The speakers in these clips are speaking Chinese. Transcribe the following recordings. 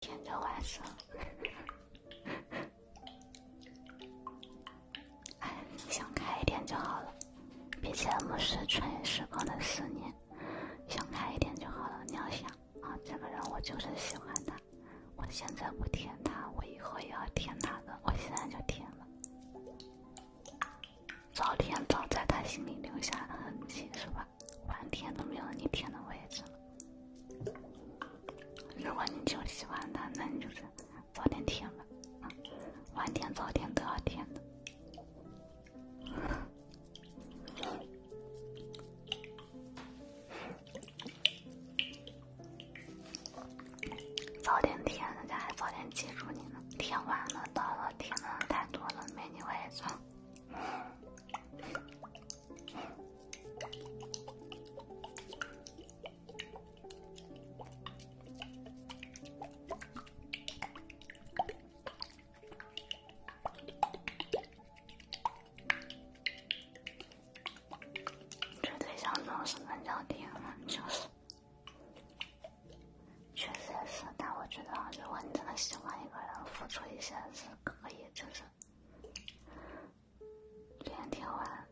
舔着我事了，哎，想开一点就好了。别节目是穿越时空的思念，想开一点就好了。你要想啊，这个人我就是喜欢他，我现在不舔他，我以后也要舔他的，我现在就舔了，早舔早在他心里留下的痕迹，是吧？晚舔都没有你舔的位置如果你就喜欢他，那你就是早点舔吧，晚点早点都要舔的。早点舔，人家还早点记住你呢。舔晚了，到了舔的人太多了，没你位置。这对象总什么较甜嘛，就是，确实也是。但我觉得，如果你真的喜欢一个人，付出一些是。可以，就是，这样听完，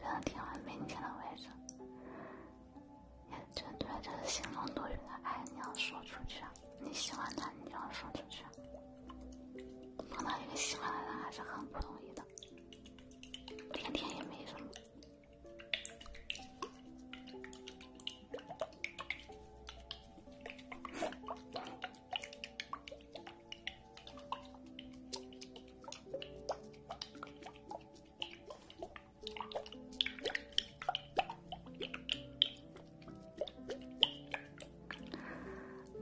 这样听完没你的位置，也绝对就是心中多余的爱，你要说出去。你喜欢他，你要说出去。碰到一个喜欢的人还是很不容易的，听听也没什么。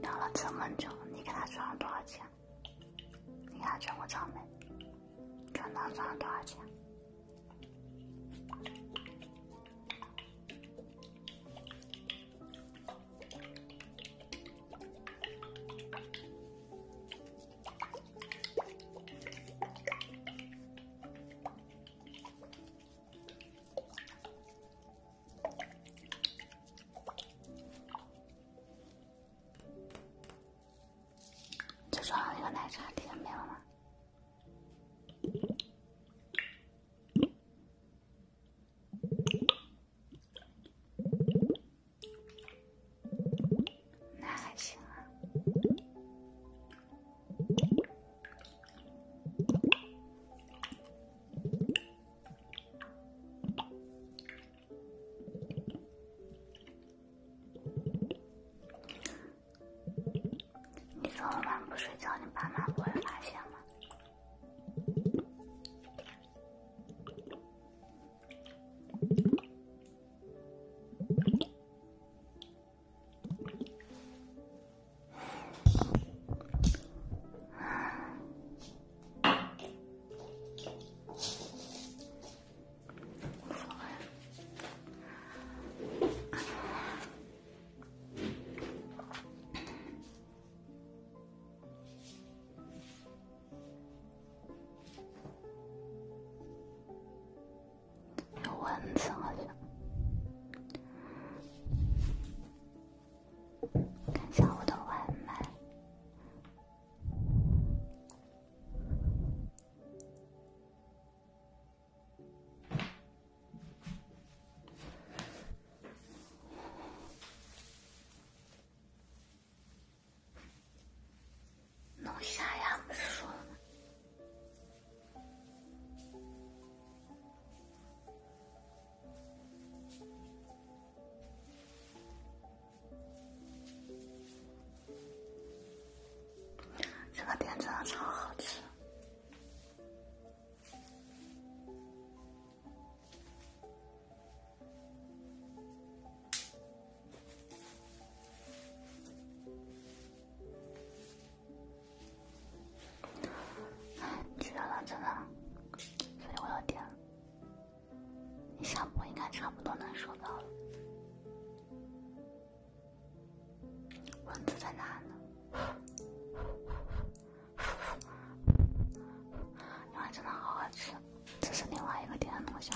聊了这么久，你给他转了多少钱？你给他转过账没？转账转了多少钱？最重要一个奶茶没有了吗？那还行啊。你昨晚不睡觉，你爸妈不会发现吗？有蚊子好像。看一下我的外卖。弄瞎呀？不是说了吗？这个点真的超好吃，哎，了真的，所以我要点。你下播应该差不多能收到了。蚊子在哪呢？因为真的好好吃！这是另外一个点的龙虾，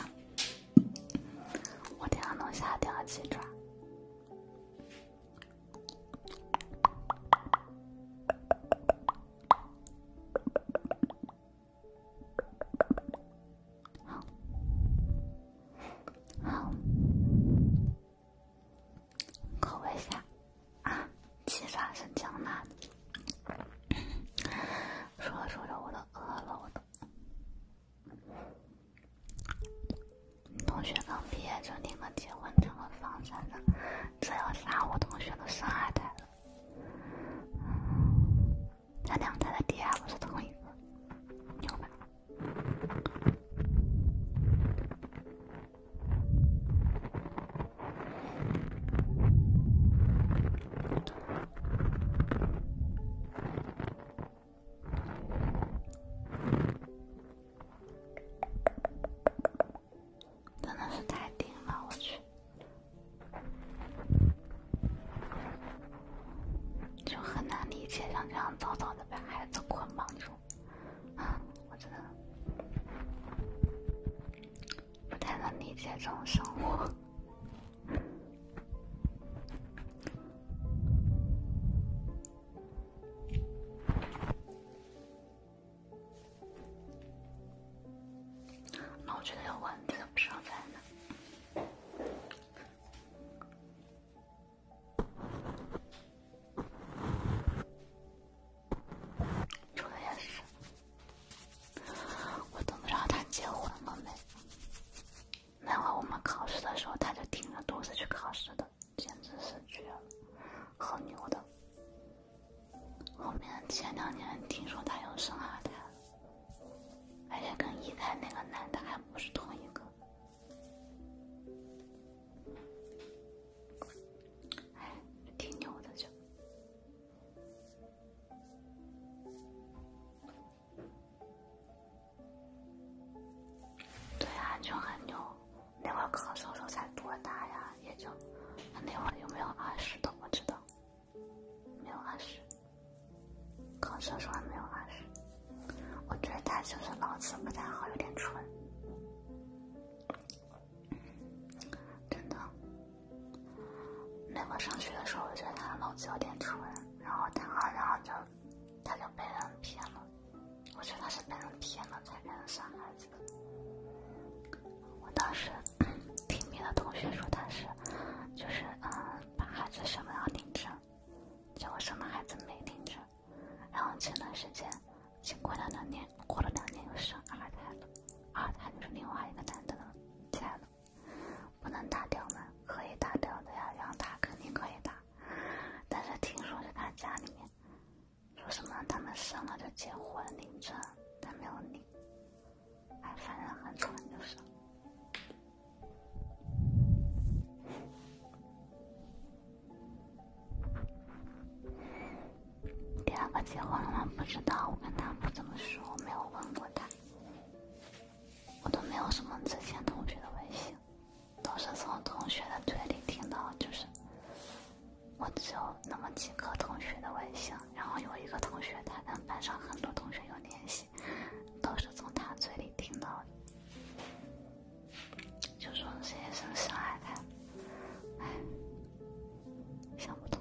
我点的龙虾，点了鸡爪。好，好，口味虾啊！气法胜江南。说着说着，我都饿了，我都。同学刚毕业就订了结婚证和房产证，这要杀我同学的伤害他了。他俩家的爹不是同一个，牛吧？真的是太顶了，我去！就很难理解，像这样早早的把孩子捆绑住，啊，我真的不太能理解这种生活。那我觉得有蚊子不生财呢。说的也是，我都不知道他结婚了没。那会我们考试的时候，他就挺着肚子去考试的，简直是绝了，很牛的。后面前两年听说他又生二胎而且跟一胎那个男的还不是同一个，哎，挺牛的就。对，啊，就很牛，那会何叔叔才多大呀？也就那会儿有没有二十都不知道。没有二十，考证书还没有二十。我觉得他就是脑子不太好，有点蠢，真的。那我上学的时候，我觉得他脑子有点蠢，然后他，然后就，他就被人骗了。我觉得他是被人骗了才被人傻孩子。我当时听别的同学说他是，就是嗯，把孩子生了要领证，结果生了孩子没领证。然后前段时间，经过了两年，过了两年又生二胎了，二胎就是另外一个男的了，亲爱的，不能打掉吗？可以打掉的呀，想他肯定可以打。但是听说是他家里面。说什么他们生了就结婚领证，但没有领。还反正很蠢就是。第二个结婚了吗？不知道，我跟他不怎么说，没有问过他。我都没有什么之前同学的微信，都是从同学的嘴里听到，就是。我就那么几个同学的微信，然后有一个同学，他跟班上很多同学有联系，都是从他嘴里听到的，就说实习生是来的，唉，想不通。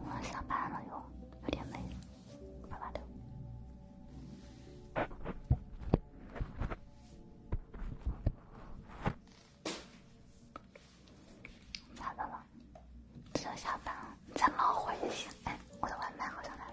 我要下班了，有有点累，把我的。咋的了？就要下班了，再闹会就行。哎，我的外卖好像来了。